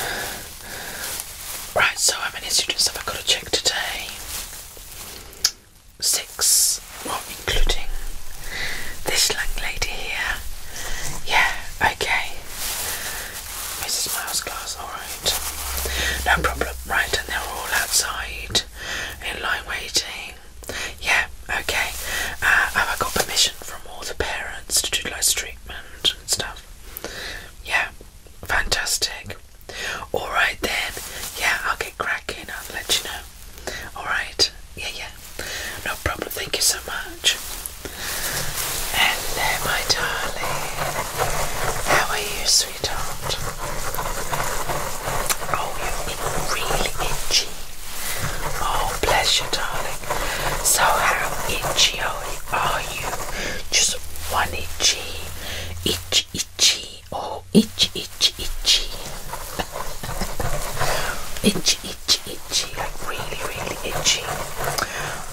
Right, so how many students have I got to check today? Six, well, including this young lady here. Yeah, okay. Mrs. Miles' class, alright. No problem, right, and they're all outside in line waiting. Yeah, okay. Uh, have I got permission from all the parents to do live treatment and stuff? Yeah, fantastic. Alright then, yeah, I'll get cracking, I'll let you know. Alright, yeah, yeah, no problem, thank you so much. Hello, my darling. How are you, sweetheart? Oh, you're really itchy. Oh, bless you, darling. So, how itchy are you? are you? Just one itchy, itchy, itchy, oh, itchy, itch, itchy, itch, itch, itchy, like really, really itchy.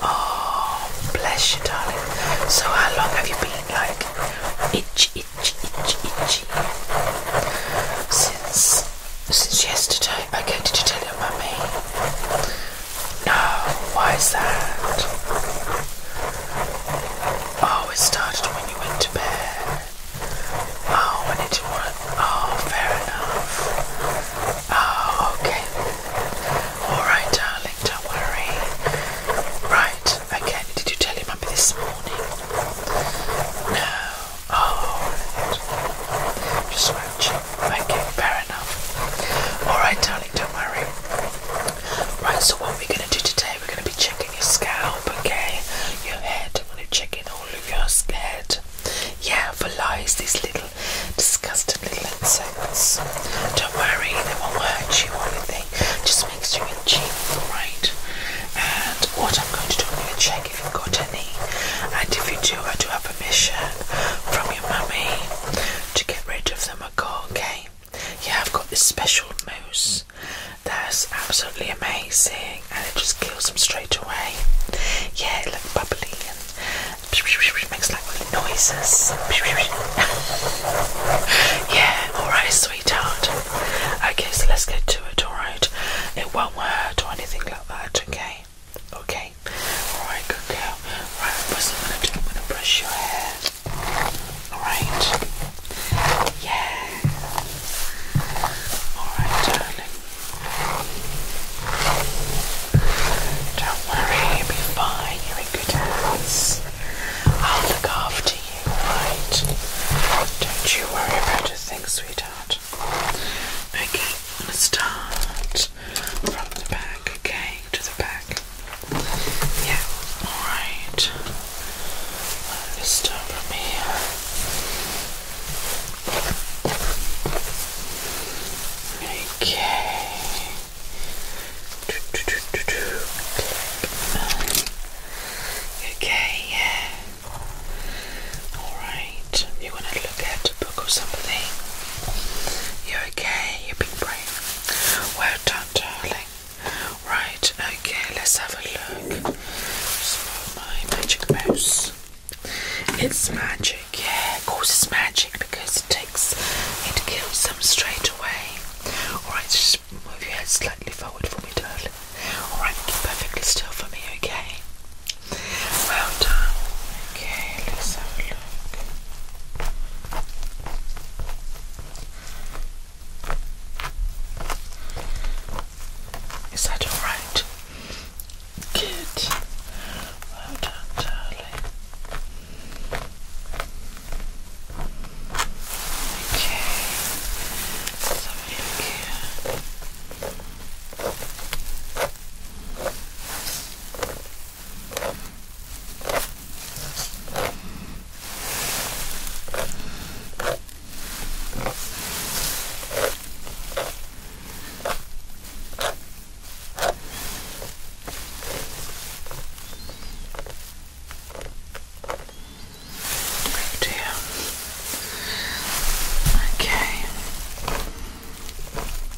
Oh, bless you, darling. So, how long have you been like itchy, itchy, itchy, itchy? Since since yesterday. Okay, did you tell your mummy? No, why is that? Oh, it started when you went to bed. Oh, when it didn't Oh, fair enough. Oh, okay. Alright, darling, don't worry. Right, okay. Did you tell your mummy this morning? No. Oh, right. Just scratch Okay, fair enough. Alright, darling, don't worry. Right, so what we're going to do today, we're going to be checking your scalp, okay? Your head. I'm going to check in all of your head. Yeah, for lice, these little disgusting little insects. Don't worry, they won't hurt you or anything. Just makes you itchy, alright? And what I'm going to do, I'm going to check if you've got any. And if you do, I do have permission from your mummy to get rid of them macaw, Yeah, I've got this special mousse that's absolutely amazing and it just kills them straight away. Yeah, it looks bubbly and makes like noises. yeah, alright, sweetheart. Okay, so let's get to it, alright? It won't hurt or anything like that, okay? okay? Alright, good girl. Right, first I'm gonna do, I'm gonna brush your hair. Alright? Yeah. Alright, darling. Don't worry, you'll be fine. You're in good hands. I'll look after you, right? Don't you worry about a thing, sweetheart. Okay, I'm gonna start from the back, okay? to the back. Yeah, alright. Let's start from here. Okay. Okay, yeah. Alright, you want to look at book or something. You're okay, you've been brave. Well done, darling. Right, okay, let's have a look. my magic mouse. It's magic, yeah, of course it's magic because it takes, it kills them straight away. Alright, just move your head slightly forward for me, darling. Alright, keep perfectly still for me, okay? Well done. Okay, let's have a look. Is that all right? Good. Well done, darling. Okay. let here. Oh dear. Okay.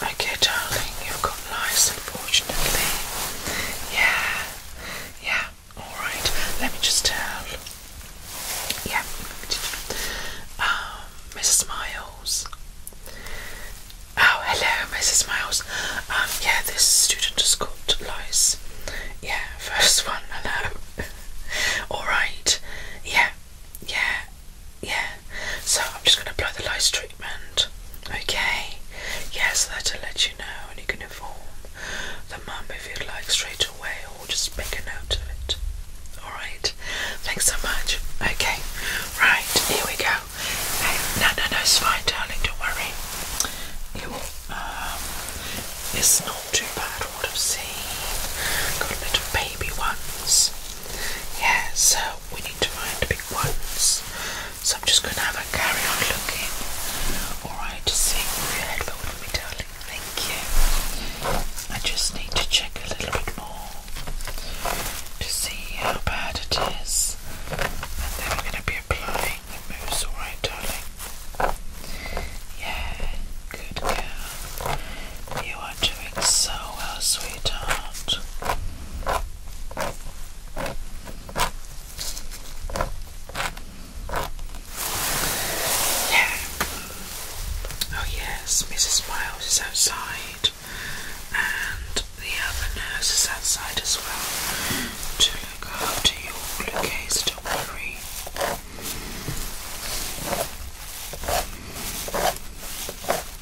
Okay, darling, you've got lice, unfortunately. Yeah, yeah, alright. Let me just tell. Yeah, um, Mrs. Miles. Oh, hello, Mrs. Miles. Um, yeah, this student has got lice. Yeah, first one, hello. Alright, yeah, yeah, yeah. So I'm just going to apply the lice straight. Okay? Yes, that'll let you know and you can inform the mum if you'd like straight away or just make a note of it. Alright? Thanks so much. Okay. Right, here we go. Hey, no, no, no, it's fine, darling, don't worry. Um, it's not too bad what I've seen. Got a little baby ones. Yeah, so we need to find the big ones. So I'm just going to have a carry on looking. Alright, just see your head forward with me, darling. Thank you. I just need to check a little bit more to see how bad it is. And then we're going to be applying the mousse, alright, darling? Yeah, good girl. You are doing so well, sweetheart. Oh yes, Mrs. Miles is outside and the other nurse is outside as well to look after you all in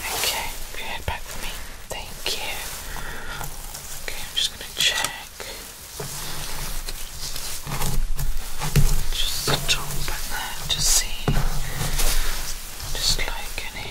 Okay, can you head back for me? Thank you. Okay, I'm just gonna check. Just the top back there to see. Just like in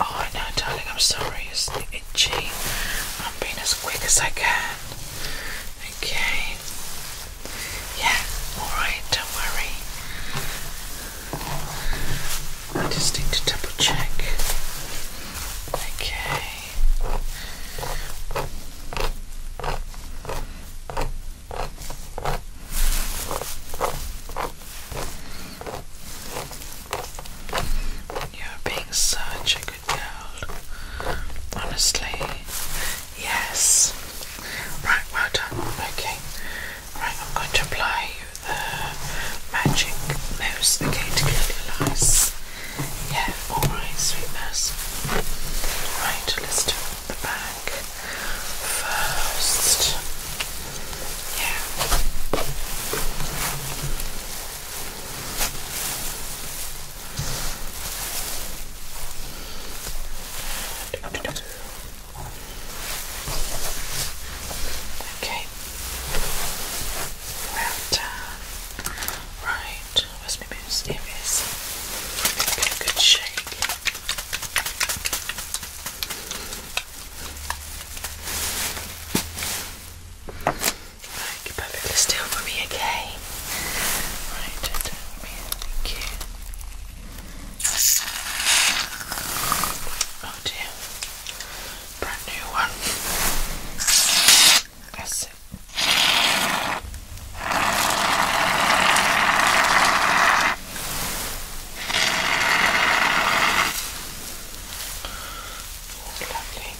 Oh, I know, darling, I'm sorry, it's itchy. I'm being as quick as I can. Okay. Yeah, alright, don't worry. I just need to double check. Okay. You're being such a good girl. Honestly, yes. Right, well done. Okay. Right, I'm going to apply the magic nose again to Yeah, alright, sweet Right, let's do the back first. Yeah. Okay. Well done. Uh, right, where's my moose? There Give it a good shake. Right, you're perfectly still for me, okay? Right, thank you. Oh dear, brand new one. That's it. lovely.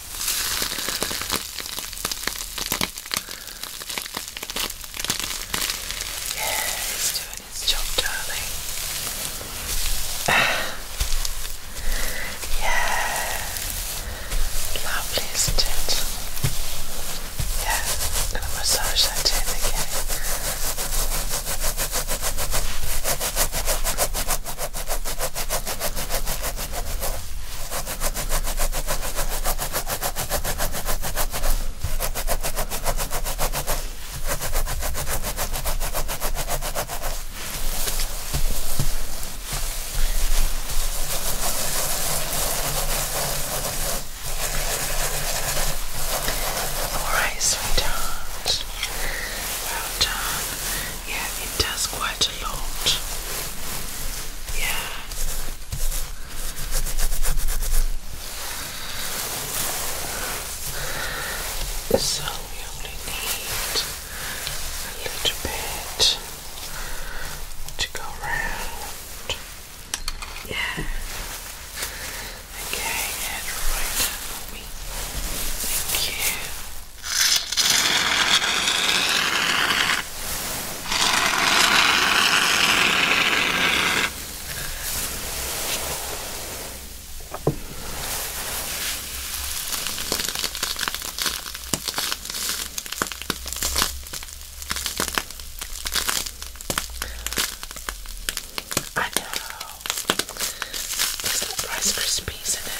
Yeah, he's doing his job, darling. yeah, lovely, isn't it? Yeah, I'm gonna massage that in again. Alright, sweetheart. Well done. Yeah, it does quite a lot. Yeah. So we only need a little bit to go round. Yeah. Okay, and right for me. Thank you. I know. There's no Rice Krispies in it.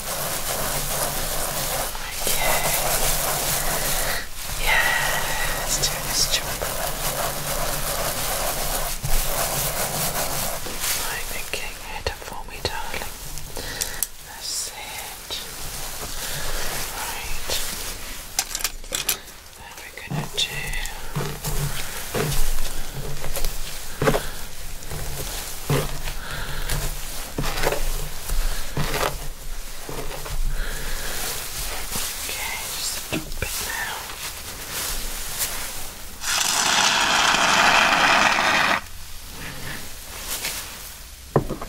Okay. Yeah, do this jump. I think you it for me, darling. That's it. Right. Then we're gonna do. Okay, just a little bit now. Okay,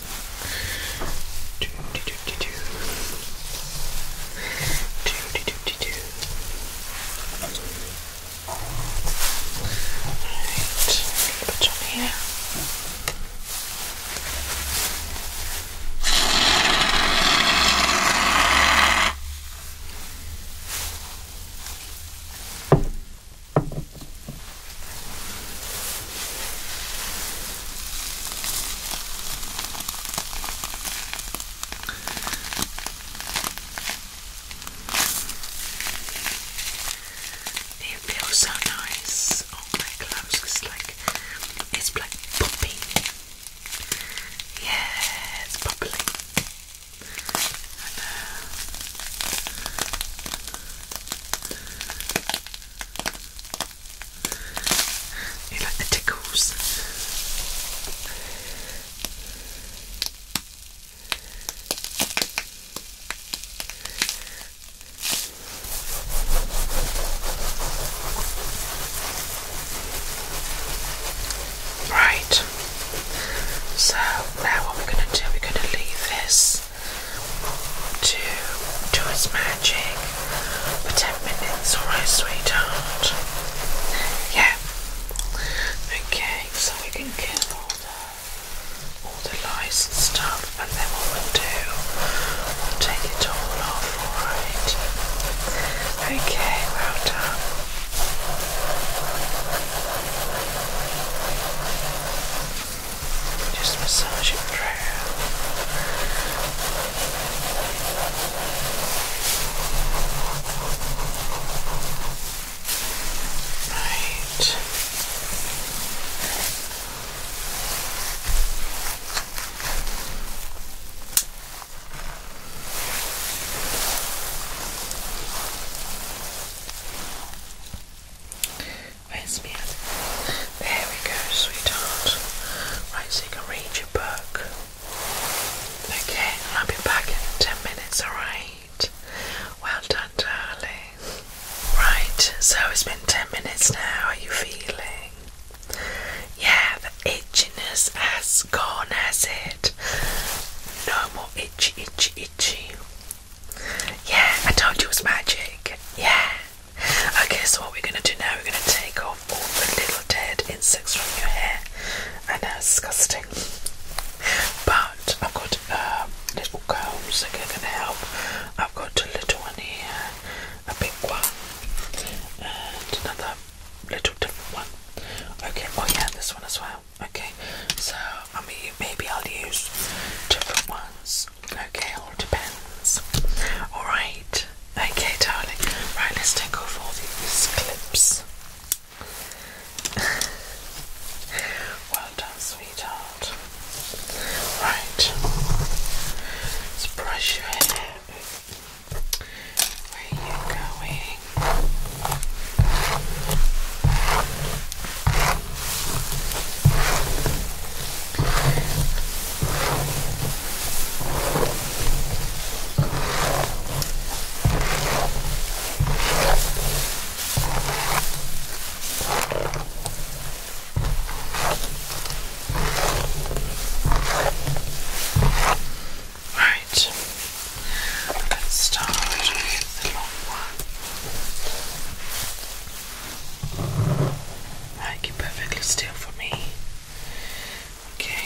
Put on here. It feels so nice on oh, my gloves, it's like, it's like popping. Yeah, it's bubbling. I know. You like the tickles? Right, so now what we're going to do, we're going to leave this to do its magic for 10 minutes, alright, sweetheart? Yeah. Okay, so we can kill all the, all the lice and stuff, and then what we'll do, we'll take it all off, alright? Okay, well done. Just massage it through. Right. Where's me There we go, sweetheart. Right, so you can read your book. Okay, I'll be back in 10 minutes, alright? Well done, darling. Right, so it's been 10 minutes now. are you feeling? Yeah, the itchiness has gone, has it? No more itchy, itchy, itchy. Yeah, I told you it was magic. Yeah. Okay, so what we're going to do now, we're going to take off all the little dead insects from your hair. I know it's disgusting. But I've got um, little combs that are going to help. I've got a little one here, a big one, and another little different one. Okay, oh yeah, this one as well. Okay, so I mean, maybe I'll use different ones Okay, all depends. Alright, okay, darling. Right, let's take off all these clips. well done, sweetheart. Right, let's brush your Where are you going? Right, let's start with the long one. I keep perfectly still for me. Okay.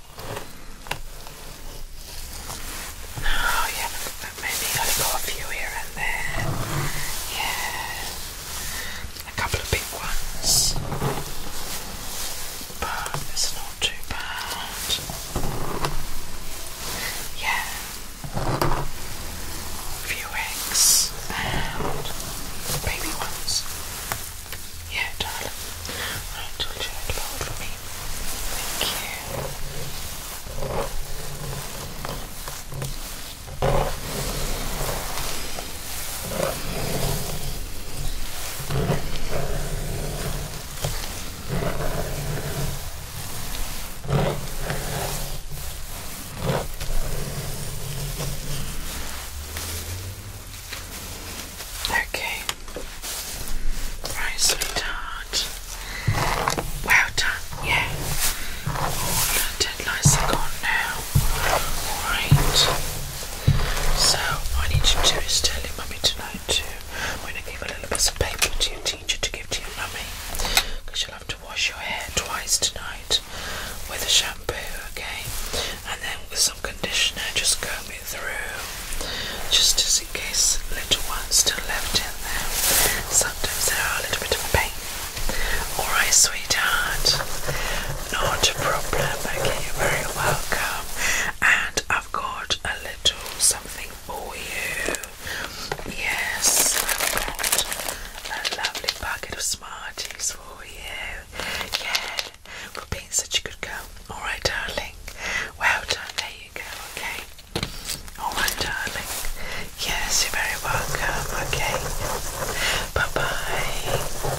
Oh, you haven't I've got a few here and there. Yeah. A couple of big ones. But it's not too bad. Yeah. A few eggs and baby ones. Yeah, darling. I told you try would hold for me. Thank you. Okay. Right, sweetheart. Well done, yeah. All the deadlights are gone now. Alright. So, I need to do is tell your mummy tonight too. I'm going to give a little bit of paper to your teacher to give to your mummy. Because you'll have to wash your hair twice tonight with a shampoo, okay? And then conditioner, just comb it through, just as in case little ones still left in there. Sometimes there are a little bit of pain. Alright, sweetheart, not a problem. Okay, you're very welcome. And I've got a little something for you. Yes, I've got a lovely bucket of Smarties for you. Yes good. We're being such a good girl. Alright, darling. Well done. There you go, okay? Alright, darling. Yes, you're very welcome, okay? Bye bye.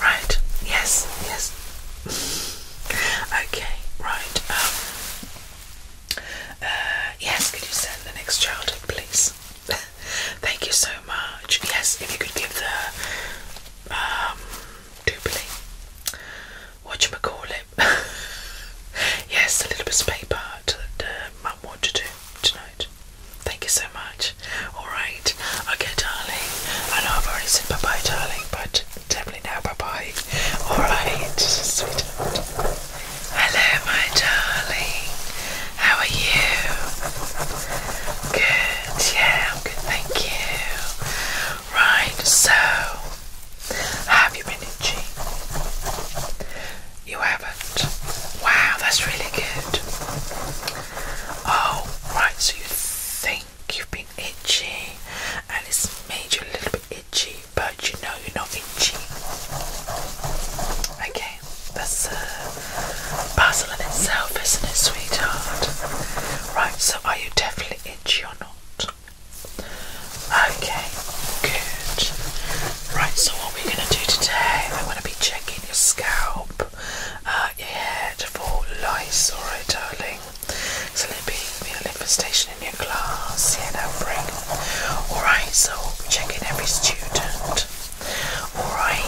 Right, yes, yes. okay, right. Um, uh, yes, could you send the next child in, please? Thank you so much. Yes, if you could give the um, what doobly. Whatchamacallit? yes, a little bit of paper that uh, mum wanted to do tonight. Thank you so much. Alright, okay, darling. I know I've already said bye bye, darling, but definitely now bye bye. Alright, sweetheart. Hello, my darling. How are you? Good, yeah, thank you. Right, so have you been itchy? You haven't. Wow, that's really good. Oh, right, so you think you've been itchy and it's made you a little bit itchy, but you know you're not itchy. Okay, that's a uh, puzzle in itself, isn't it, sweetheart? Right, so are you definitely itchy or not? Okay, good. Right, so what we're going to do today, I'm going to be checking your scalp, uh, your head for lice, alright, darling? So there'll be a infestation in your class, yeah, no break. Alright, so we're checking every student. Alright.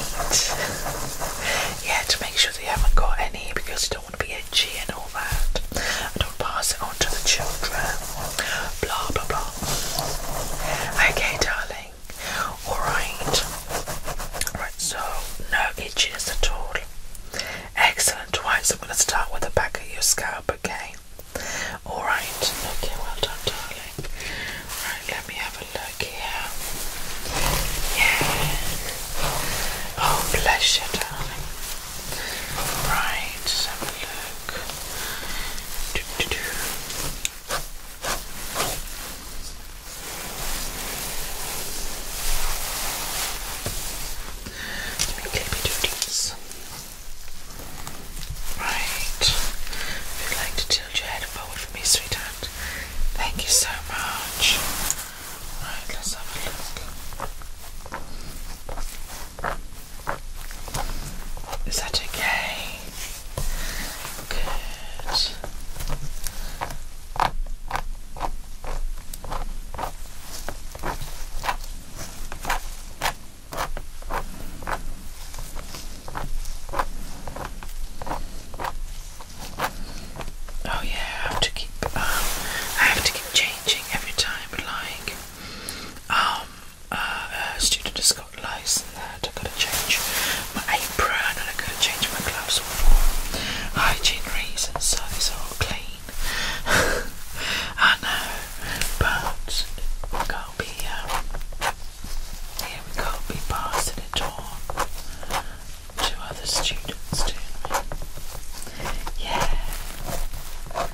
Yeah, to make sure. Because they haven't got any because you don't want to be itchy and all that. I don't pass it on to the children. Blah blah blah. Okay, darling. Alright. Right, so no itches at all. Excellent. Right, so I'm going to start with the back of your scalp, okay? Alright. Okay, well done, darling. Right, let me have a look here. Yeah. Oh, bless you, darling. Right, let look. Do, do, do. Let me clip do these. Right. If you'd like to tilt your head forward for me, sweetheart. Thank you so much. Right, let's have a look. Is that okay? Good. Oh yeah, I have to keep. Um, I have to keep changing every time. Like, um, uh, a student has got lice and I gotta change my apron and I gotta change my gloves for hygiene reasons, so it's all clean. I know, but we can't be. Um, we can be passing it on to other students, too. Yeah. Right.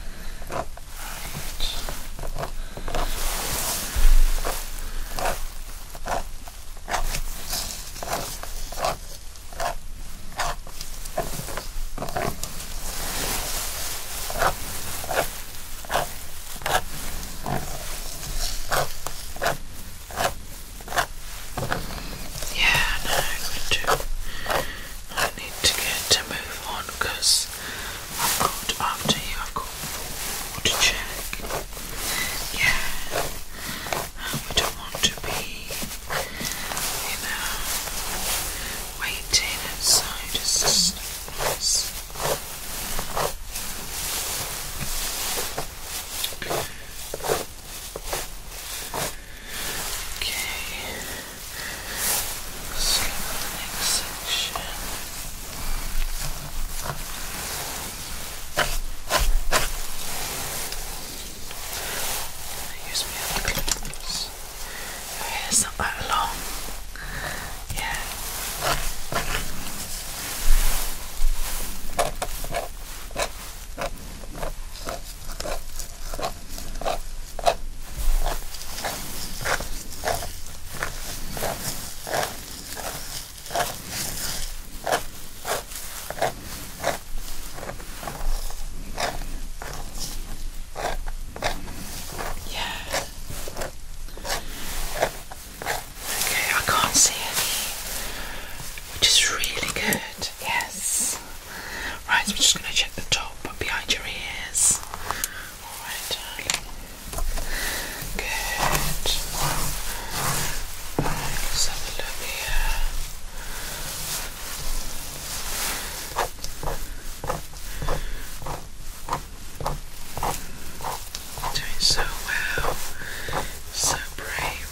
Yeah, no, I'm I need to get a move on I've got after you. I've got to check. Yeah, and we don't want to be, you know, waiting outside. It's just Okay. Let's go to the next section. use my other clips. Your hair's not that long. Yeah. Yeah. Okay, I can't see any which is really good. Yes. Right, so we're just going to check the top behind your ears. Alright, Good. let's have a look here. Doing so well, so brave.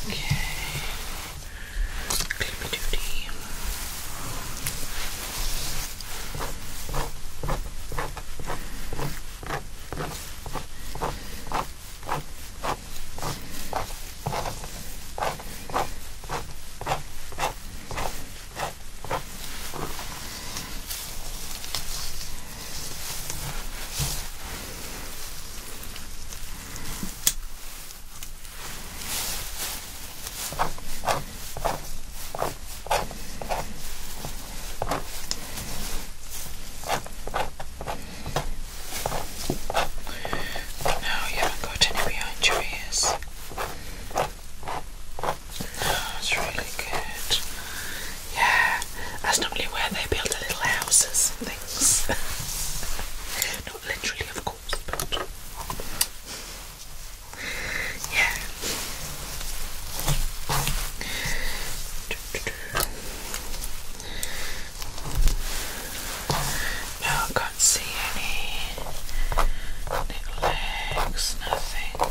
Okay. Clippy duty. No, you haven't got any behind your ears. No, it's really good. Yeah, that's normally where they build the little houses things. Not literally, of course, but yeah. No, I can't see any legs, nothing.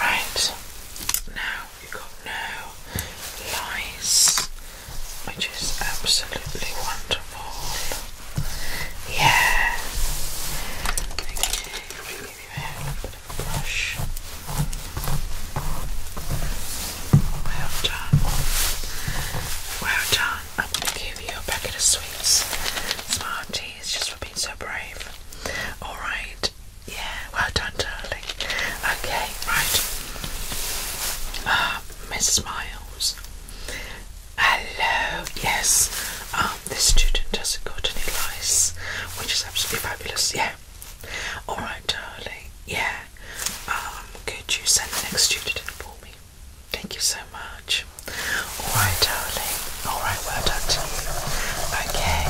Right, now we've got no lice, which is absolutely wonderful. Yeah. give you a little bit of brush. Well done. Well done. I'm going to give you a packet of sweets. Smarties, just for being so brave. Alright. Yeah, well done, darling. Okay, right. Uh, ah, Mrs. Miles. Hello. Yes. Um, this student has not got any lice, which is absolutely fabulous. Yeah. Alright, darling. Yeah. Um, could you send the next student in for me? Thank you so much. Alright, darling. Alright, well done to you. Okay,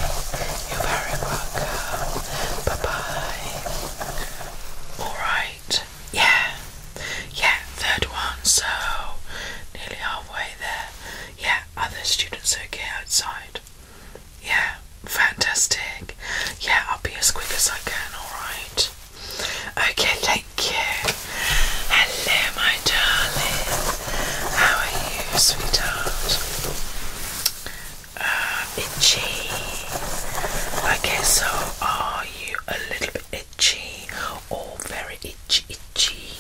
you're very welcome. Bye bye. Alright, yeah. Yeah, third one, so nearly halfway there. Yeah, other students okay outside? Yeah, fantastic. Yeah, I'll be as quick as I can, alright? Okay, thank you. Hello, my darling. How are you, sweetheart? Uh, itchy. Okay, so are you a little bit itchy or very itchy, itchy?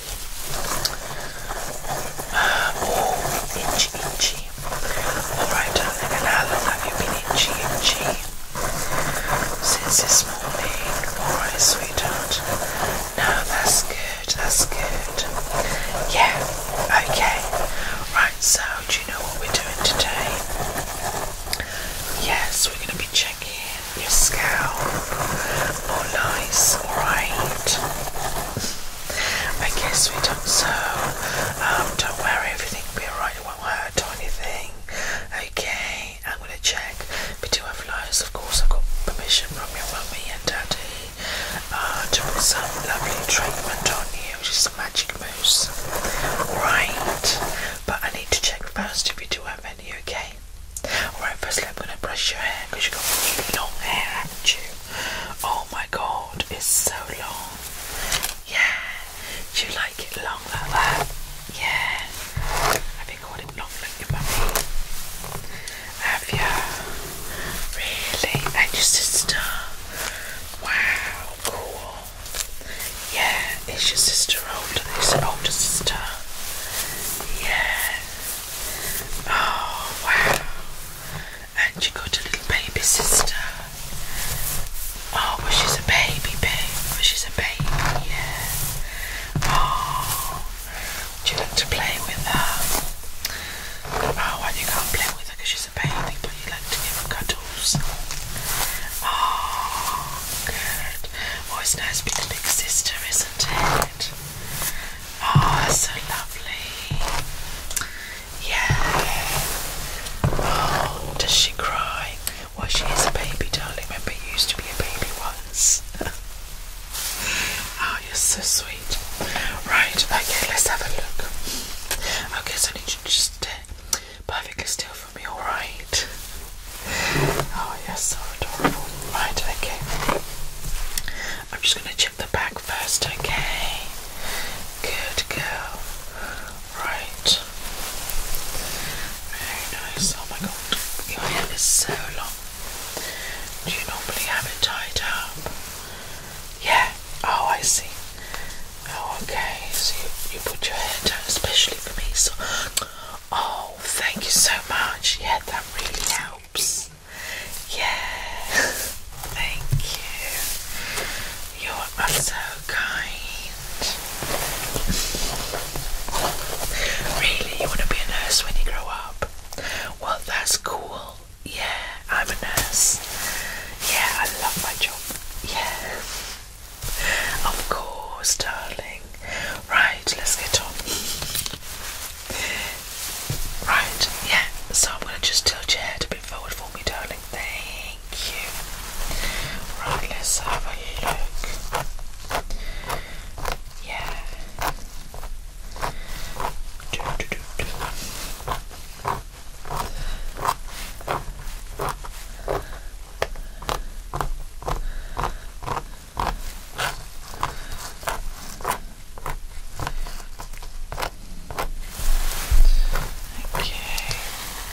Uh, oh, itchy, itchy. Alright, darling, and how long have you been itchy, itchy? Since this morning, alright, sweetheart. No, that's good, that's good. Yeah, okay. Right, so do you know what we're doing today? Yes, we're going to be checking your scalp. All nice, alright. don't so um, don't worry, everything will be away won't hurt or anything. Okay, I'm gonna check. We do have flowers, of course. I've got permission from your mummy and daddy uh, to put some lovely treatment on you, which is magic mousse. Right, but I need to check first if you do have any, okay? Alright, firstly, I'm gonna brush your hair because you've got really long hair, haven't you? Oh my god, it's so long. Yeah, do you like Make it long like that. Yeah. I have been want it long like your mummy. Have you? Really? And your sister? Wow, cool. Yeah, is your sister older? Is an older sister? Yeah. Oh wow. And you got a little baby sister. Oh, but she's a baby, baby. But she's a baby, yeah. Oh, do you like to play with her? Oh, well, you can't play with her because she's a baby, but you like to give her cuddles. Oh, good. Oh, it's nice being a big sister, isn't it? Oh, so lovely. Yeah. Oh, does she cry? Well, she is a baby, darling. Remember, you used to be a baby once. oh, you're so sweet. Right, okay, let's have a look. Okay, so I need you to just stay perfectly still for me, alright? Oh, you're so adorable. Right, okay. I'm just going to check the back first, okay? Good girl. Right. Very nice. Oh my god, your hair is so long. Do you normally have it tied up? Yeah. Oh, I see. Oh, okay. So you, you put your hair down, especially for me. So, oh, thank you so much. Yeah, that really helps. Yeah. thank you. You're are so kind. Really, you want to be a nurse when you grow up? Well, that's cool. Yeah, I'm a nurse. Yeah, I love my job. Yeah. Of course, darling. Right, let's get on. Right, yeah. So I'm going to just tilt your head a forward for me, darling. There Right, let's have a look. Yeah. Okay.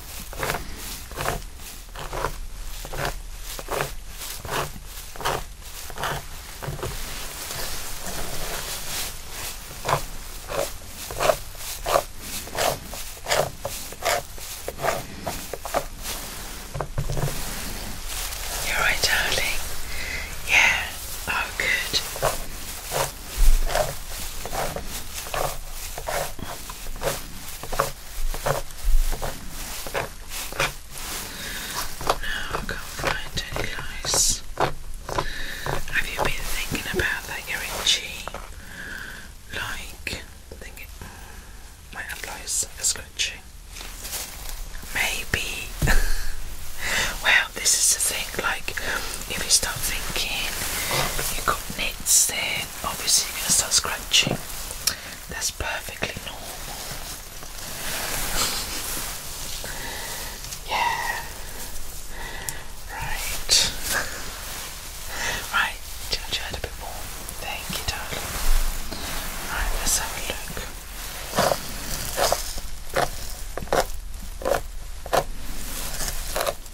You're right, darling. Yeah. Oh, good. Now I can't find any lice. Have you been thinking about that you're in cheap? Like, thinking, mm, might have lice, like a scratching. Maybe. well, this is the thing, like, if you start thinking you've got hits, then obviously you're going to start scratching. That's perfectly normal. yeah. Right. right. Judge you had a bit more. Thank you, darling. Right, let's have a look.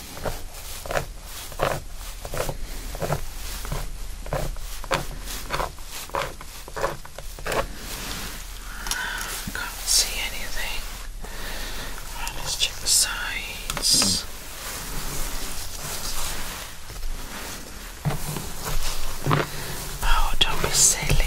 Can't see anything. let's check the sides. Oh, don't be silly.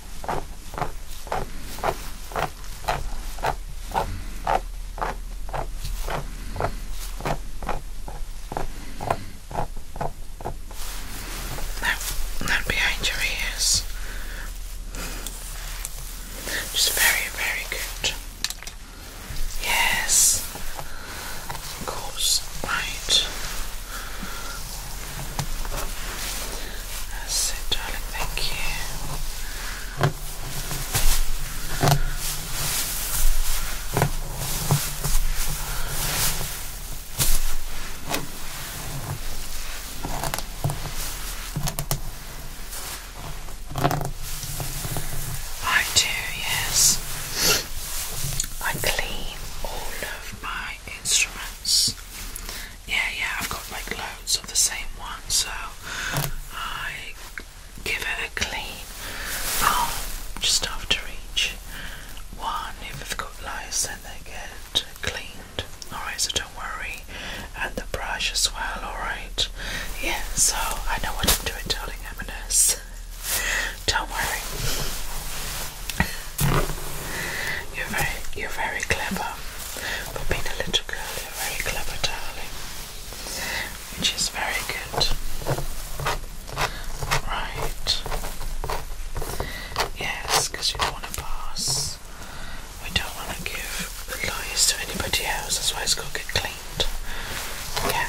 No, not behind your ears. Just very, very good. Yes, of course, right. I it, darling. Thank you. I do, yes. I clean all of my instruments. Yeah, yeah, I've got like loads of the same one, so I give it a clean. Um, just after each one, if they've got lice, then they get cleaned. Alright, so don't worry. And the brush as well, alright? Yeah, so I know what I'm doing, darling Eminence. Don't worry. You're very, you're very clever. For being a little girl, you're very clever, darling. Which is very good. Right. Yes, because you don't want to pass. We don't want to give the lies to anybody else. That's why it's got to get cleaned. Yeah.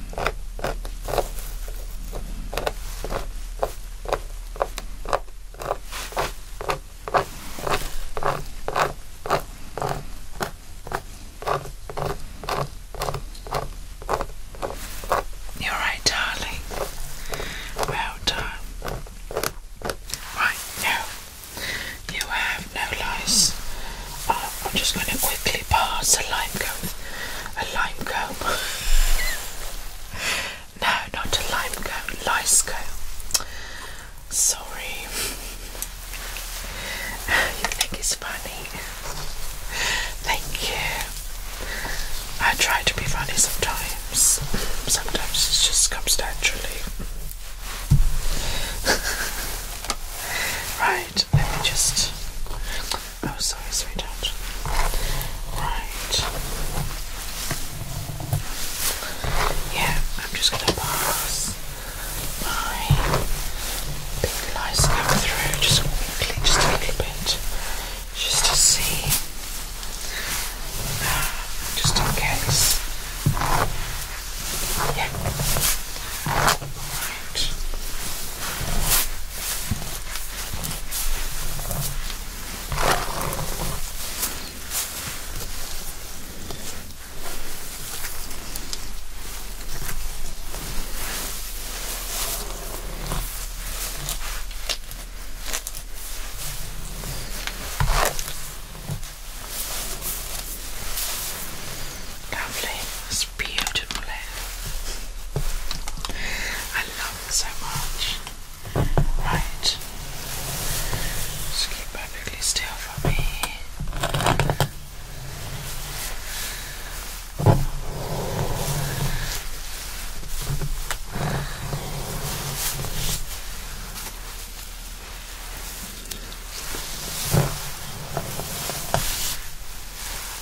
You're right, darling. Well done. Right, now you have no lice. Uh, I'm just going to quickly pass a lime coat a lime comb. no, not a lime comb, lice comb. Sorry. you think it's funny? Thank you. I try to be funny sometimes. Sometimes it just comes naturally. right, let me just Oh, sorry, sweetheart. Right. Yeah, I'm just going to pass my big lights over through just quickly, just a little bit, just to see, uh, just in case. Yeah. Right. Lovely. It's beautiful hair. I love it so much. Right. Just keep perfectly still for me.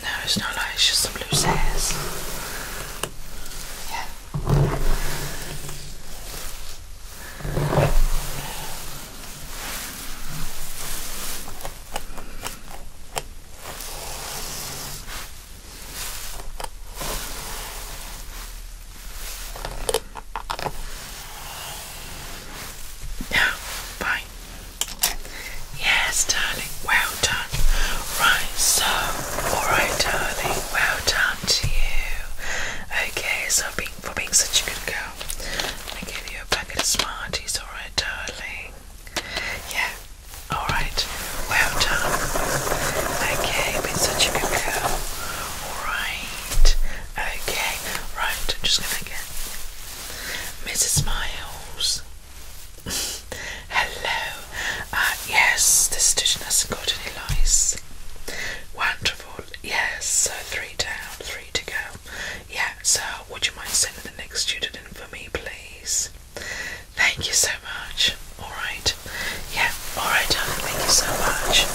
No, it's not like it's just some loose hairs. Yeah. Now, fine. Yes, darling. Well done. Right, so, alright, darling. Well done to you. Okay, so being, for being such a good girl, I give you a packet of Smarties, alright, darling. Yeah, alright. Well done. Okay, been such a good girl. Alright. Okay, right, I'm just gonna get Mrs. Miles. Hello. Uh, yes, this student hasn't got any lice. Wonderful. Yes, so three down, three to go. Yeah, so would you mind sending the next student in for me, please? Thank you so much. Alright. Yeah, Alright, darling, thank you so much.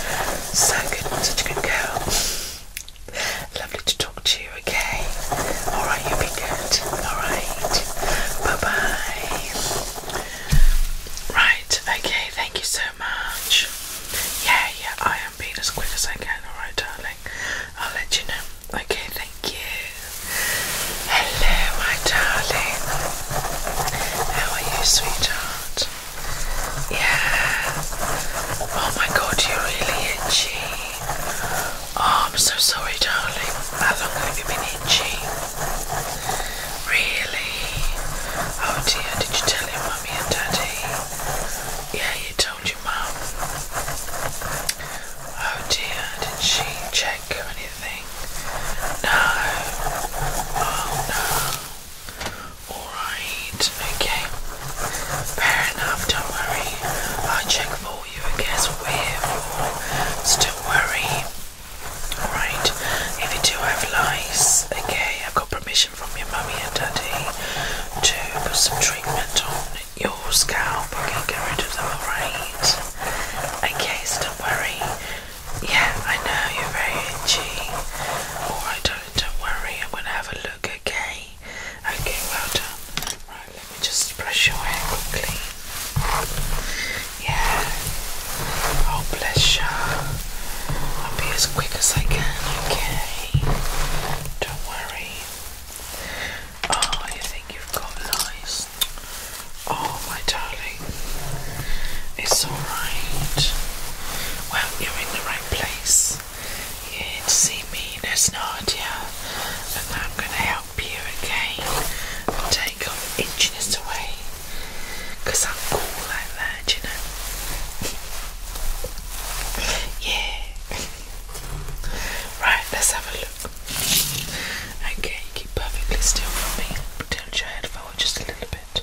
So good, such a good girl. Lovely to talk to you, okay? Alright, you be good. Alright. Bye bye. Right, okay, thank you so much. Yeah, yeah, I am being as quick as I can, alright, darling. I'll let you know. Okay, thank you. Hello, my darling. How are you, sweetheart? Yeah. Oh my god, you're really itchy. Oh, I'm so sorry, darling. How long have you been itchy? Really? Oh dear, did you tell your mummy and daddy? Yeah, you told your mum. Oh dear, did she check or anything? No. Oh no. Alright, okay. Fair enough, don't worry. i check for you, I guess we're here for. Alright, if you do have lice, okay, I've got permission from your mummy and daddy to put some treatment on your scalp. Okay, get rid of them, alright? Okay, don't worry. Yeah, I know you're very itchy. Alright, don't worry, I'm gonna have a look, okay? Okay, well done. Right, let me just brush your hair quickly. Yeah. Oh, bless you. I'll be as quick as I can, okay? Don't worry. Oh, you think you've got lice? Oh, my darling. It's alright. Well, you're in the right place face. You can see me, there's and I'm going to help you again and take your itchiness away because I'm cool like that, you know. Yeah. Right, let's have a look. Okay, keep perfectly still for me. Tilt your head forward just a little bit.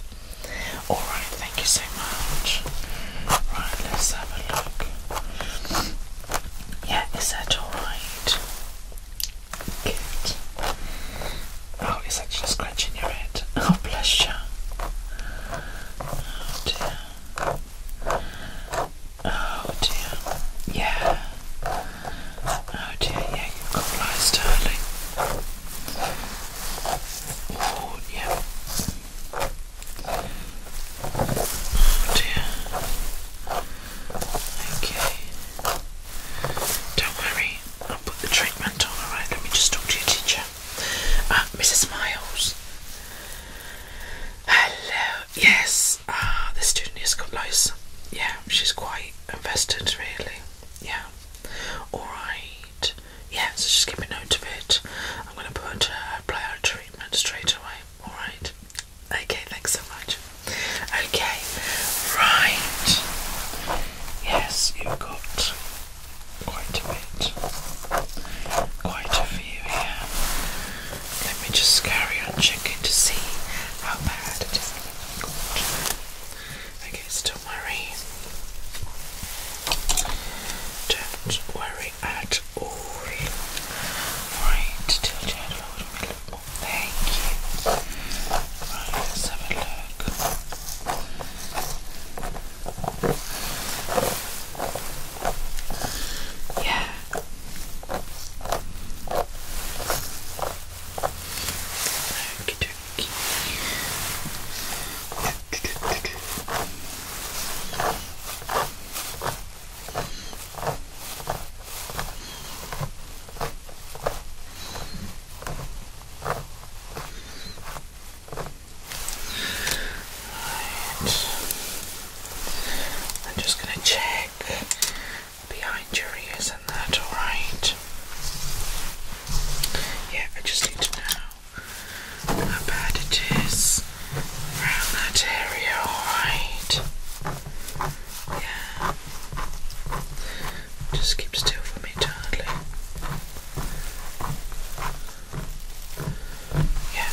Alright, thank you so much. Right, let's have a look. Yeah, is that alright? Good. Oh, it's actually scratching your head. Oh, bless you. Oh dear. Oh dear. Yeah. Oh dear, yeah, you've got lice, darling. Oh yeah. Okay. Don't worry, I'll put the treatment on, alright? Let me just talk to your teacher. Uh, Mrs. Miles. Hello. Yes, uh, the student is close. Yeah, she's quite invested, really. Yeah. Alright yeah, so just keep a note of it. I'm going to put a uh, blowout treatment straight away. Alright. Okay, thanks so much. Okay, right. Yes, you've got quite a bit. Quite a few here. Let me just carry on checking to see how bad it is guess, don't worry. Don't worry at all. Right, Thank you. Right, let's have a look. Yeah. Okay, Right. I'm just going to check behind your ears and that, alright? Yeah, I just need to know how bad it is around that area, alright? Yeah. Just keep still for me, darling. Yeah.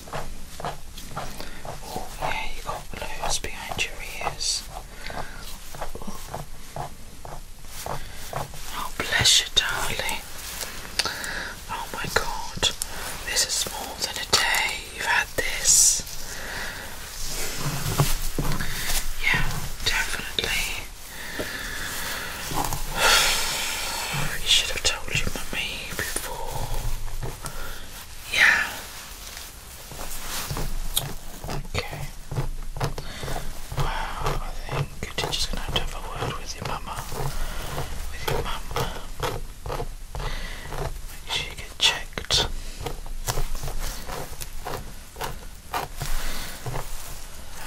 Oh yeah, you got blues behind your ears. Oh bless you, darling. Oh my God, this is more than a day. You've had this. Yeah, definitely. You should have told your mummy before. Yeah. Okay. Wow, I think your teacher's gonna have to have a word with your mama. With your mama. Make sure you get checked.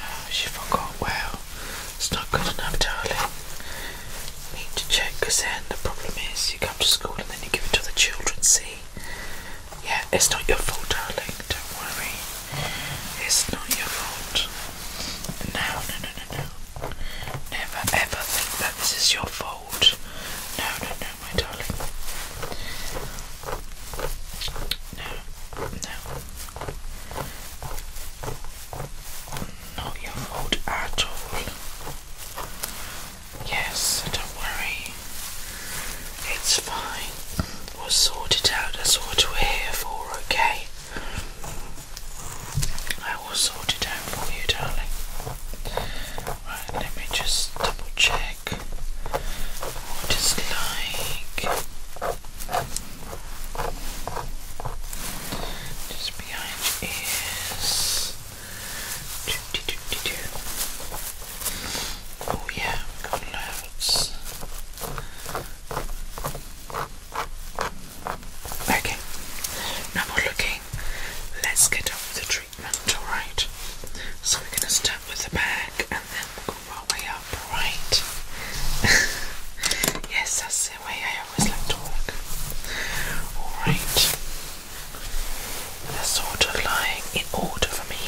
Oh, she forgot. Well, it's not good enough, darling need to check because then the problem is you come to school and then you give it to the children, see? Yeah, it's not your fault, darling, don't worry. It's not your fault. No, no, no, no, no. Never ever think that this is your fault. No, no, no, my darling. No, no not your fault at all. Yes, don't worry. It's fine. We'll sort it out. That's what we're here for, okay? I will sort it out for you, darling. Right, let me just double check what like. Just behind your ears. Oh yeah, got loads. Okay, no more looking. Let's get on with the treatment, alright? So we're gonna start with the bag and then we'll go our way up, alright? yes, that's the way I always like to work. Alright. They're sort of lying in order for me.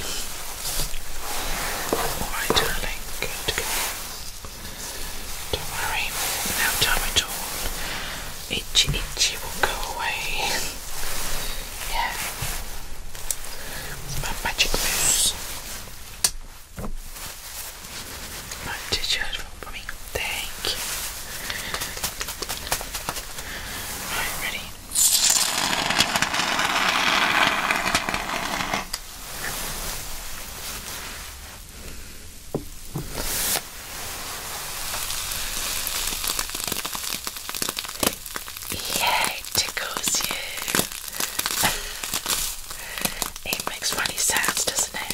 Alright, darling, good girl. Don't worry, no time at all. Itchy, itchy will go away. yeah. my magic mousse. My t Thank you. ready? Yeah, it tickles you. it makes funny sounds, doesn't it?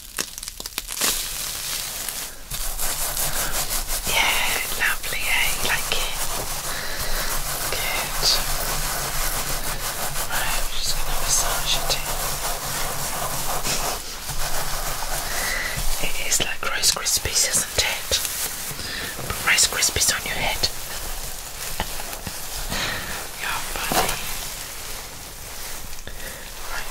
Yeah, lovely, eh? You like it? Good. Right, I'm just going to massage it It is like Rice Krispies, isn't it? Put Rice Krispies on your head. Your body. Right.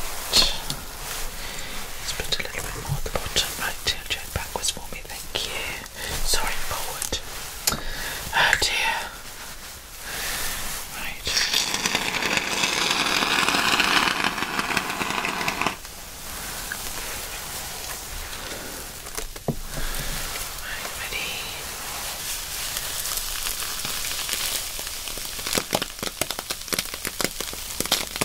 Let's put a little bit more at the bottom. Right, tilt backwards for me, thank you. Sorry, forward. Oh dear. Right. Right, ready.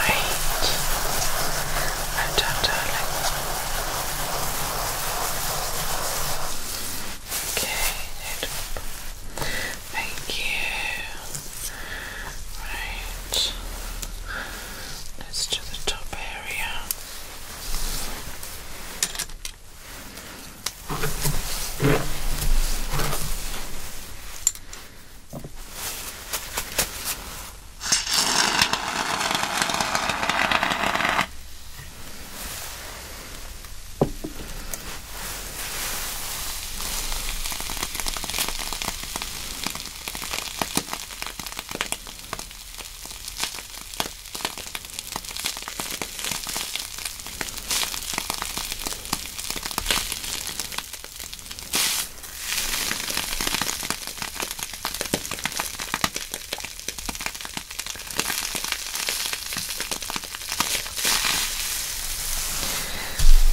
Right. Well done, darling. Okay, good. Thank you. Right. Let's do the top area.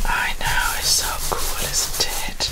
I know, it's so cool, isn't it?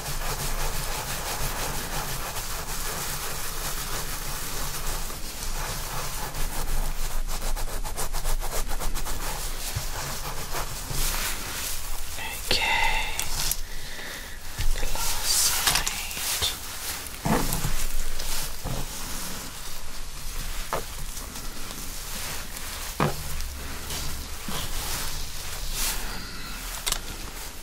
Okay, and the last side.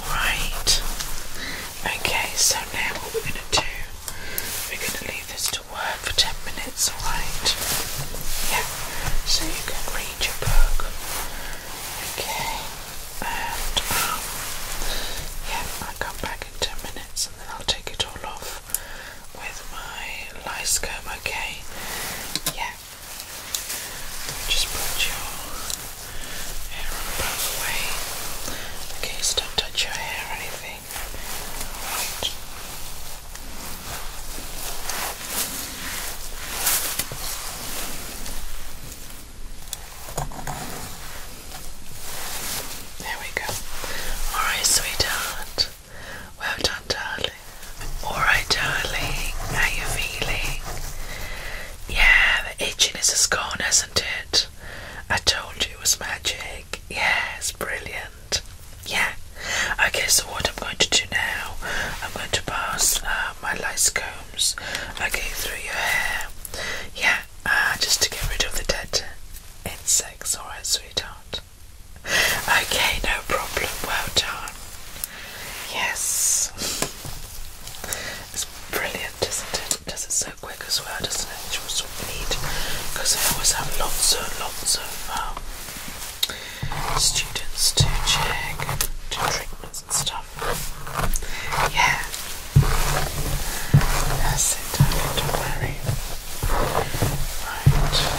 Alright, okay, so now what we're going to do, we're going to leave this to work for 10 minutes, alright? Yeah, so you can read read your book. Okay. And um, yeah, I'll come back in ten minutes and then I'll take it all off with my lice comb, okay? Yeah. Just put your hair on both Okay, so do your hair anything. Right. There we go. Alright, sweetheart. Well done, darling. Alright, darling. How you feeling? Yeah, the itching is gone, hasn't it? I told you it was magic. Yes, brilliant. Yeah, Okay, so what I'm going to do now, I'm going to pass uh, my lice combs, okay, through your hair. Yeah, uh, just to get rid of the dead insects, alright, sweetheart. Okay, no problem, well done. Yes. It's brilliant, isn't it? does it so quick as well, doesn't it? Which also what need because I always have lots and lots of um, students to check to treatments and stuff. Yeah. That's don't worry. Right. Okay.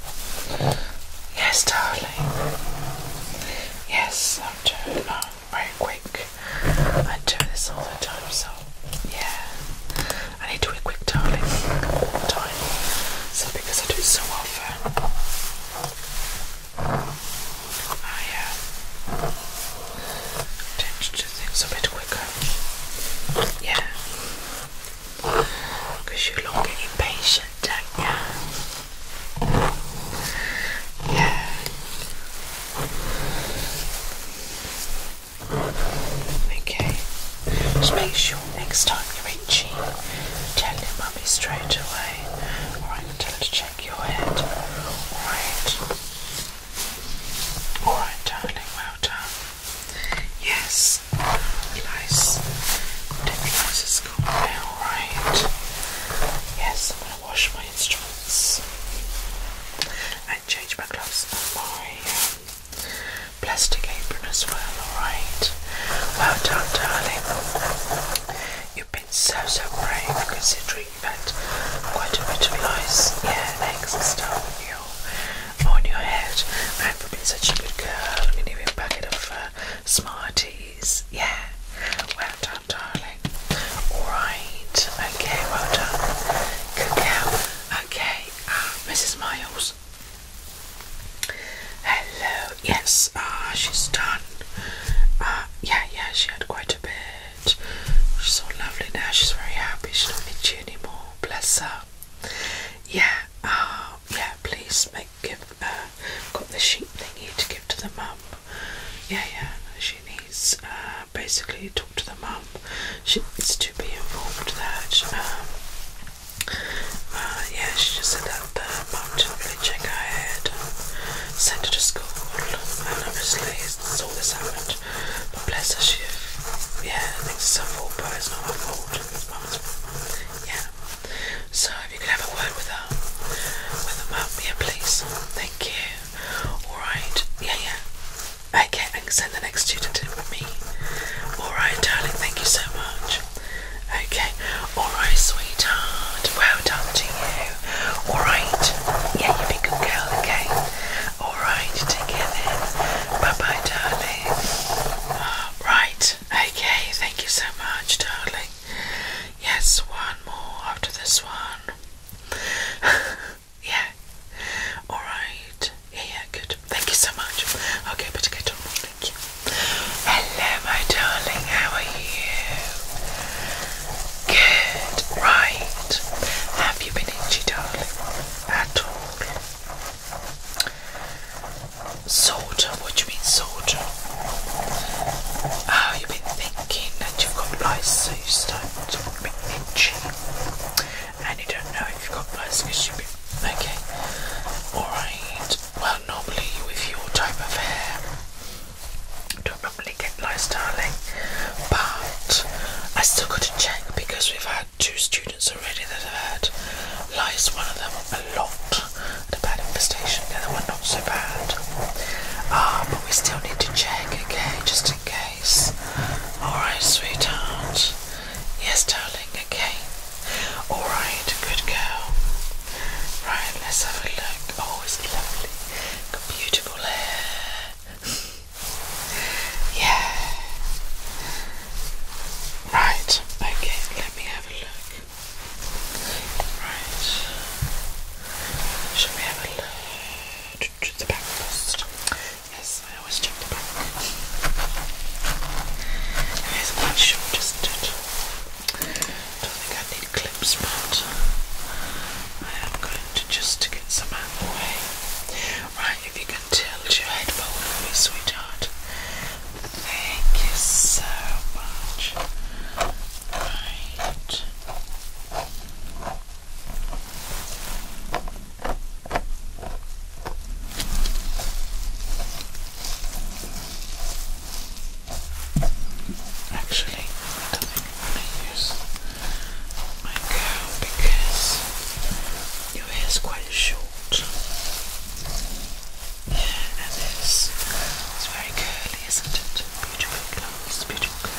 Yes, darling. Yes, I'm doing um, very quick. I do this all the time, so yeah. I need to be quick, darling, So because I do it so often, I uh, tend to things a bit quicker. Yeah. Because you you're looking impatient, don't you? Yeah. Okay. Just make sure next time you're itchy, tell mummy straight away. Alright, tell to check your head. Alright. Alright, darling, well done. Yes. Nice. Don't be that's Yes, I'm going to wash my instruments and change my gloves and my um, plastic apron as well, alright? Well done, darling. You've been so, so brave considering you've had quite a bit of ice, yeah, eggs and stuff on your, on your head. And for being such a good girl, I'm give you a packet of. Uh, Smarties. Yeah. Well done, darling. Alright. Okay, well done. Good girl. Okay, uh, Mrs. Miles. Hello. Yes, uh, she's done. Uh, yeah, yeah, she had quite a bit. She's so lovely now. She's very happy. She doesn't need you anymore. Bless her. Yeah, uh, yeah, please make give uh, got the sheep thingy to give to the mum. Yeah, yeah. She needs uh, basically talk to the mum. She needs to be involved that. Um, uh, yeah, she just said that the mum did really check her head and sent her to school. And obviously, it's all this happened. But bless her, she yeah, thinks it's her fault, but it's not my fault. It's mum's fault. Yeah. So if you could have a word with her, with her mum, yeah, please. Thank you. Alright, yeah, yeah. Okay, I can send the next student in with me. Alright, darling, thank you so much. Okay, alright, sweetheart. Well done to you. Alright, yeah, you be a good girl, okay? Alright, take care then. Bye bye, darling. Ah, right, okay, thank you so much, darling. Yes, one more after this one. yeah, alright. Yeah, yeah, good. Thank you so much. Okay, better get on. Thank you. Hello, my darling, how are you? Good, right. Have you been itchy, darling? At all? Soldier, what do you mean soldier? Oh, you've been thinking that you've got lice, so you start to be itchy. And you don't know if you've got lice because you've been... Okay, alright. Well, normally with your type of hair, you don't normally get lice, darling. But I still got to check because we've had two students already that have had lice, one of them a lot and a bad infestation. The other one not so bad. Ah, but we still need to check, okay, just in case. Alright, sweetheart. Yes, darling, okay. Alright, good girl. Right, let's have a look. Oh, lovely. beautiful hair. yeah. Right, okay, let me have a look. Right. Should we have a look at the back first? Yes, I always check the back. It is quite short, isn't I don't think I need clips, but I am going to just get some out the way. Right, if you can tilt your head forward for me, sweetheart. Thank you so much. Right. Actually, I am gonna use my comb because your hair is quite short. Yeah, and this is very curly, isn't it? Beautiful curls, beautiful curls.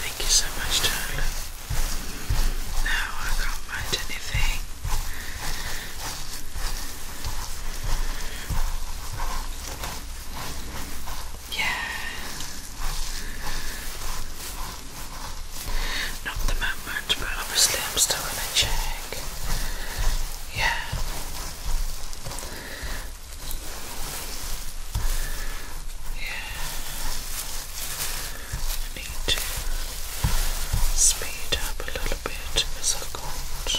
thank you so much, darling. No, I can't mind anything. Yeah. Not the moment, but obviously I'm still gonna check. Yeah. Yeah. need to speed up a little bit because I've got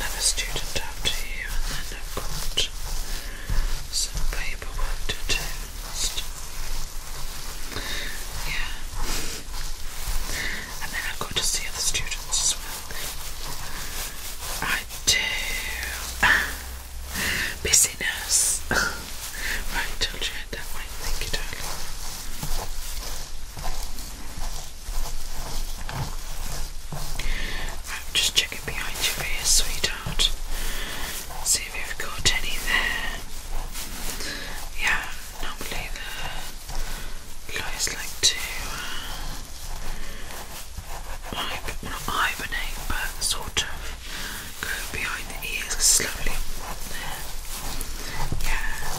another student after you, and then I've got some paperwork to do and Yeah. And then I've got to see other students as well. I do. Busyness. right, I'll change that way. Thank you, darling. I'm just checking behind your ear, sweetheart. See if you've got any there. Yeah, normally the lawyers like to like, uh, not hibernate, but sort of go behind the ears slowly. Yeah.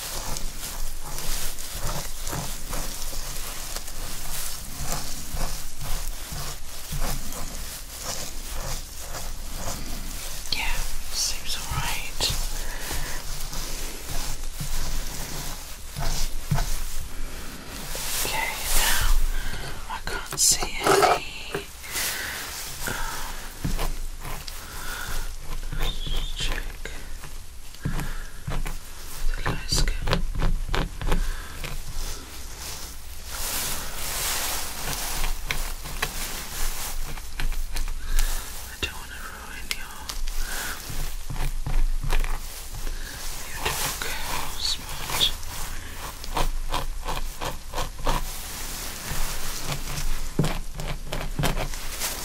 Yeah, seems all right. Okay, now I can't see any um, check the light I don't want to ruin your beautiful spot. Okay. Now,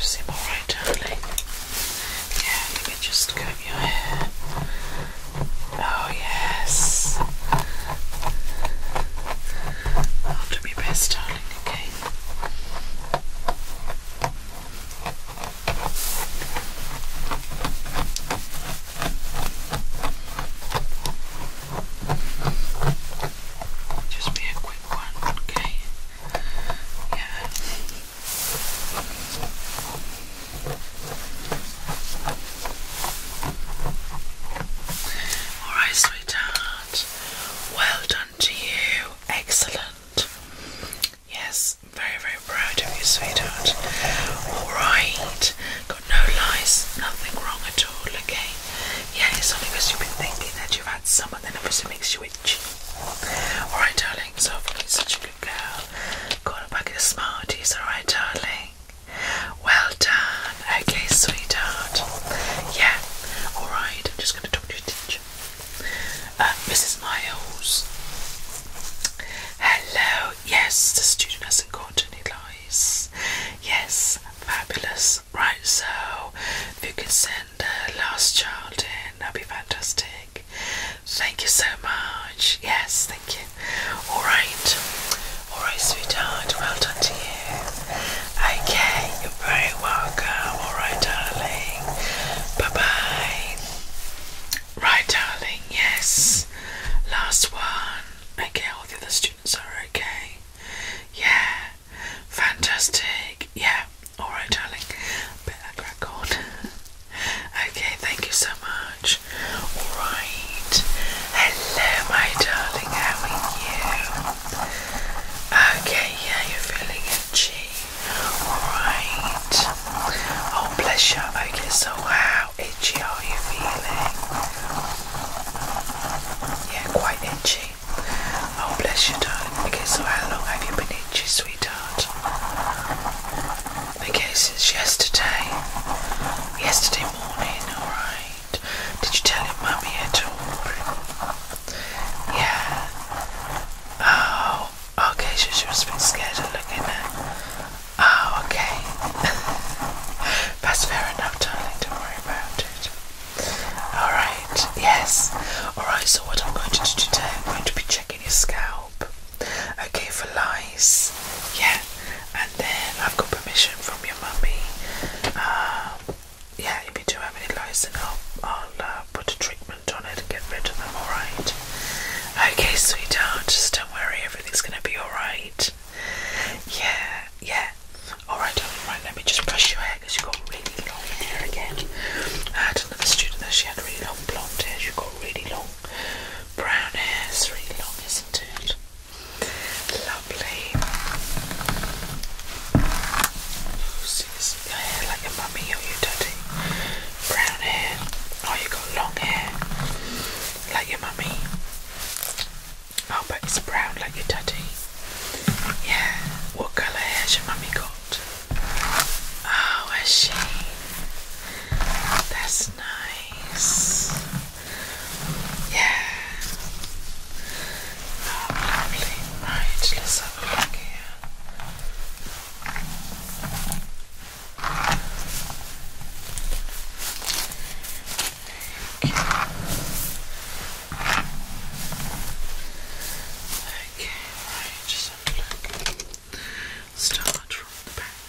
seem all right, darling. Yeah, let me just comb your hair Oh, yes. i my best, darling, okay? Just be a quick one, okay? Yeah. All right, sweetheart. Well done to you. Excellent. Yes, very, very proud of you, sweetheart. All right. Got no lies, nothing wrong at all, okay? Yeah, it's only because you've been thinking that you've had some and then obviously makes you itch. All right, darling. So, you're such a good girl. Got a packet of Smarties, all right, darling. Well done. Okay, sweetheart. Yeah. All right. I'm just going to talk to your teacher, uh, Mrs. Miles. Hello. Yes, the student hasn't got any lies. Yes, fabulous. Right. So, if you can send the last child in, that'd be fantastic. Thank you so much. Yes, thank you. Alright. Alright, sweetheart. Well done to you. Okay, you're very welcome. Alright, darling. Bye bye. Right, darling. Yes. Last one. Okay, all the other students are okay. Yeah. Fantastic. Yeah. Alright, darling. Better crack on. okay, thank you so much. Alright. Hello, my darling, how are you? Okay, yeah, you're feeling itchy. Alright. Oh, bless you. Okay, so how itchy are you feeling? Yeah, quite itchy. Oh, bless you, darling. Okay, so how long have you been itchy, sweetheart? Okay, since yesterday, yesterday morning, alright. Did you tell your mummy at all? Yeah. Oh, okay, so she was a bit scared of looking at. Oh, okay. That's fair enough, darling, don't worry about it. Alright, yes. Alright, so what I'm going to do today, I'm going to be checking your scalp. Okay, for lice. Yeah, and then I've got permission from your mummy. Um, yeah, if you do have any lice, then I'll, uh, put a treatment on it and get rid of them, alright? Okay, sweetheart, don't worry, everything's gonna be alright. Yeah, yeah. Alright, darling, right, let me just brush your hair because you've got really long hair again. I had another student that she had really long blonde hair, she got really long brown hair, it's really long, isn't it? Lovely. Oh, this your hair like a mummy or your daddy. Brown hair. Oh, you got long hair. Like your mummy. Oh, but it's brown like your daddy. Yeah. What colour hair's your mummy got? Oh, has she? That's nice. Yeah. lovely. Right, let's have a look here. Okay, right, just have a look. Start from the back.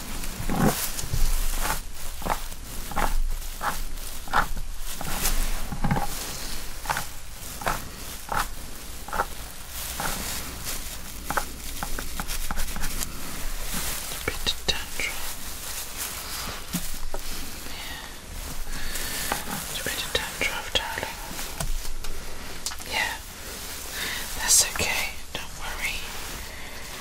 bit of tantrum. Yeah. a bit of tantrum, darling. Yeah. That's okay. Don't worry.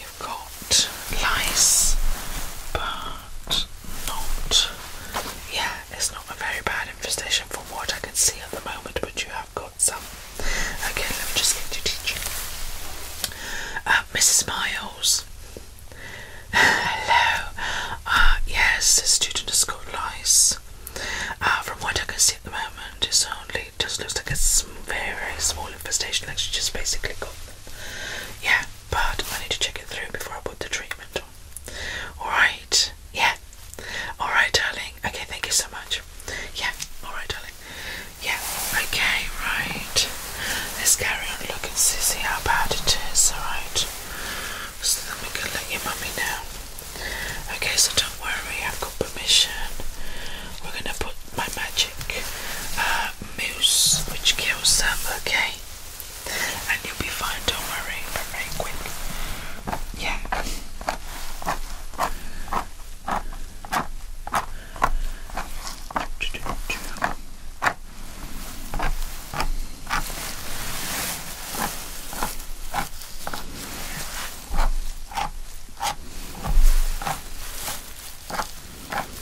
You've got lice, but not. Yeah, it's not a very bad infestation from what I can see at the moment, but you have got some. Okay, let me just get you teacher. Uh, Mrs. Miles. Hello. Uh, yes, the student has got lice. Uh, from what I can see at the moment, it's only just looks like a very, very small infestation. Like she just basically got them. Yeah but I need to check it through before I put the treatment on. Alright, yeah. Alright, darling. Okay, thank you so much. Yeah, alright, darling. Yeah, okay, right. Let's carry on looking, see, see how bad it is, alright? So then we can let your mummy know. Okay, so don't worry, I've got permission. We're gonna put my magic uh, mousse, which kills them, okay? And you'll be fine, don't worry, very quick. Yeah.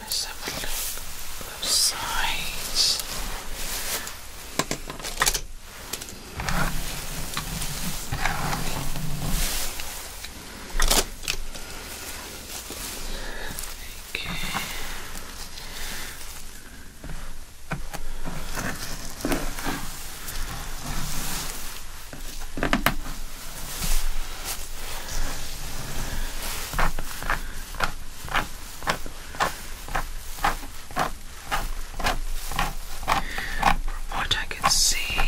Let's have a look both sides. Okay. Okay. From what I can see,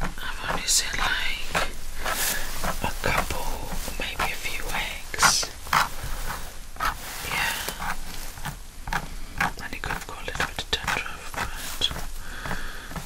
I've only seen like a couple, maybe a few eggs. Yeah. And it could go a little bit tender, but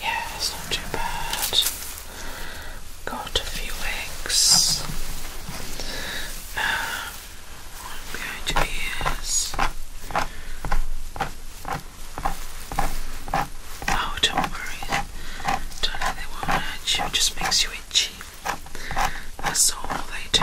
Yeah, not too bad. Got a few eggs. Um, I'm going Oh, don't worry. Don't they will hurt you, it just makes you itchy. That's all they do.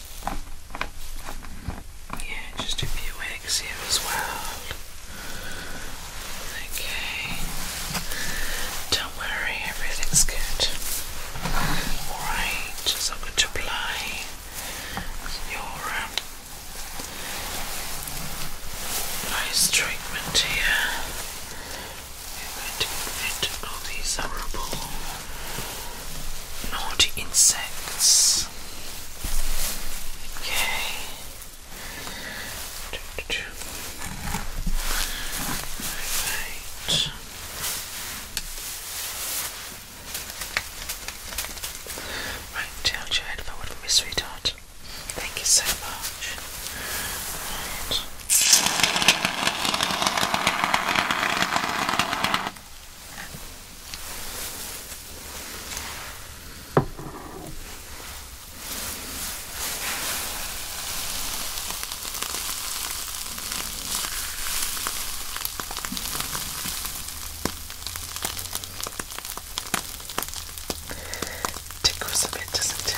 Yeah, just a few eggs here as well. Okay. Don't worry, everything's good. Alright, so I'm going to apply your um, treatment here. We're going to get rid of these horrible naughty insects. Okay. Right. Right, tilt your head forward for me, sweetheart. Thank you so much. Tickles a bit, doesn't it?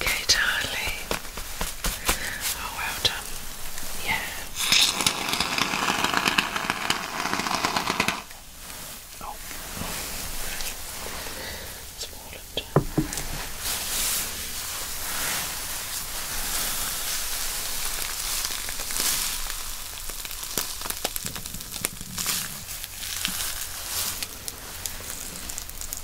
okay, Charlie? Oh, well done. Yeah. Oh, it's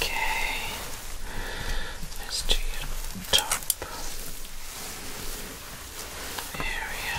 Okay, let's do your top area.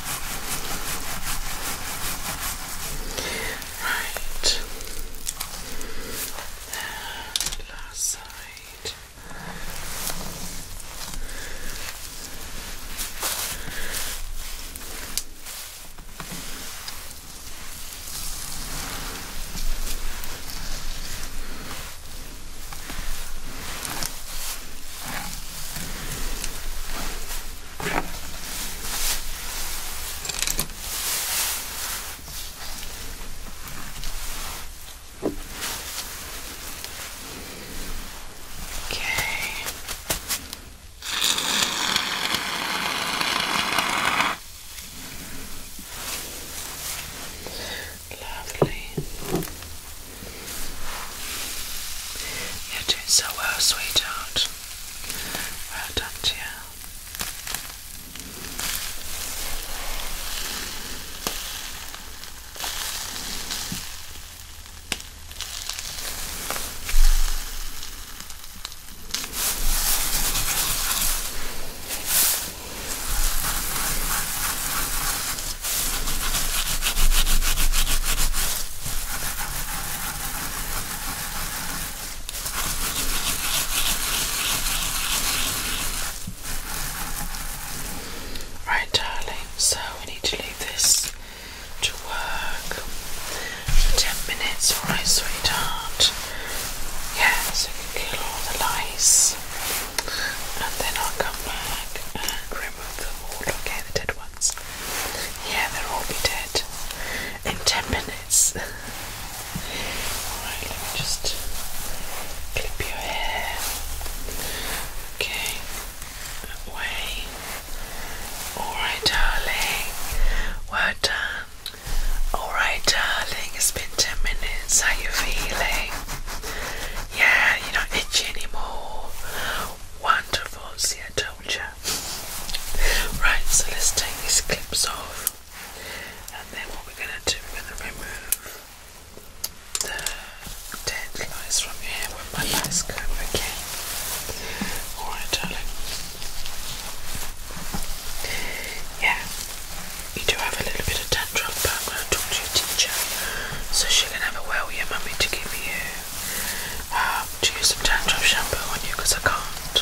Right. And last side. Okay. Okay. Lovely. You're doing so well, sweetheart. Well done to you. Right, darling, so we need to leave this to work for 10 minutes, alright, sweetheart. Yeah, so we can kill all the lice and then I'll come back and remove all, the dead ones. Yeah, they'll all be dead in 10 minutes. Alright, let me just clip your hair. Okay, that way. Alright, darling. Well done. Alright, darling, it's been 10 minutes. How you feeling? Yeah, you're not itchy anymore. Wonderful, see, I told you. Right, so let's take these clips off, and then what we're gonna do, we remove the dead from your hair with my lice comb, okay? Alright, darling. Yeah, you do have a little bit of dandruff, but I'm gonna talk to your teacher, so she can have a word with your to give you um, to use some dandruff shampoo on you because I can't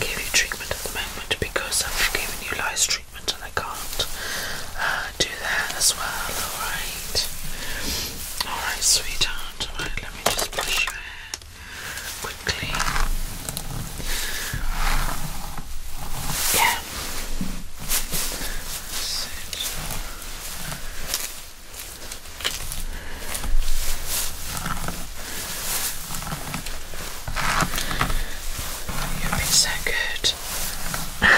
give you treatment at the moment because I've given you lice treatment and I can't uh, do that as well. Alright, alright, sweetheart. Alright, let me just brush your hair quickly. Yeah. You've been so good.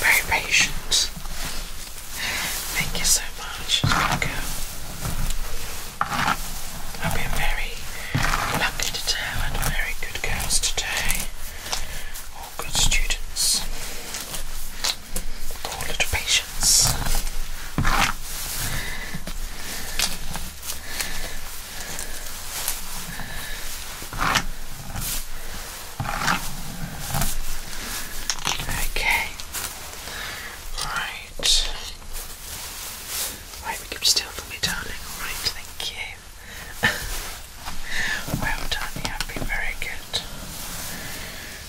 Very patient. Thank you so much. I've been very lucky today. I had very good girls today good students. With little patience. Okay. Right. Right, we keep still for me, darling. Alright, thank you. well done, you have been very good.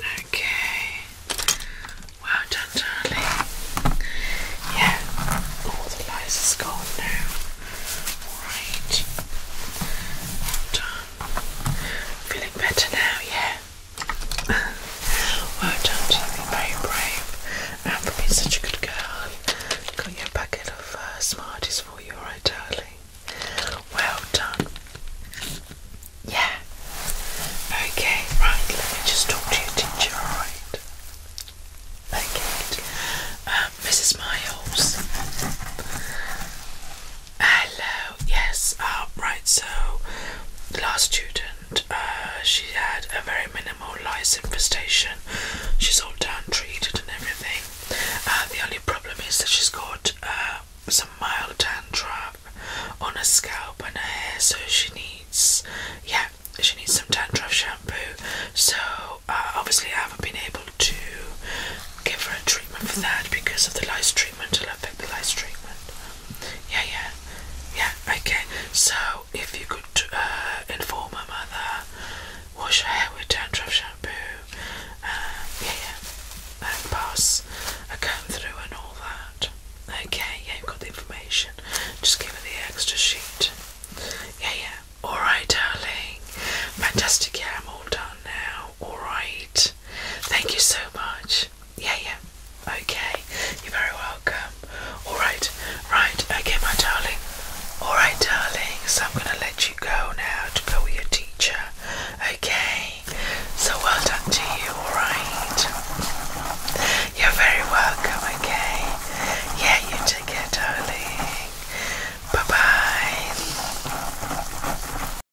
Okay. Well done, darling. Yeah. All the lies is gone now. All right. Well done. Feeling better now, yeah? well done, you very brave and for being such a good girl. Got your bucket of uh, Smarties for you, alright darling? Well done. Yeah. Okay, right, let me just talk to your teacher, alright? Okay. Uh, Mrs. Miles. Hello, yes, uh, right, so the last student, uh, she had a very minimal lice infestation. She's all down treated and everything. Uh, the only problem is that she's got some mild dandruff on her scalp and her hair, so she needs, yeah, she needs some dandruff shampoo. So, obviously, I haven't been able to give her a treatment for that because of the lice treatment treatment. It'll affect the lights treatment. Yeah, yeah, yeah. Okay. So if you could uh, inform her mother, wash her hair with dandruff shampoo. Uh, yeah, yeah. And pass a comb through and all that. Okay. you ain't got the information. Just give her the extra sheet. Yeah, yeah. All right, darling. Fantastic. Yeah, I'm all done now. All right. Thank you so much. Yeah, yeah. Okay. You're very welcome. Alright, right. Okay, my darling. Alright, darling. So I'm going to let you go now to go with your teacher. Okay. So well done to you. Alright. You're very welcome. Okay. Yeah, you take it, darling. Bye bye.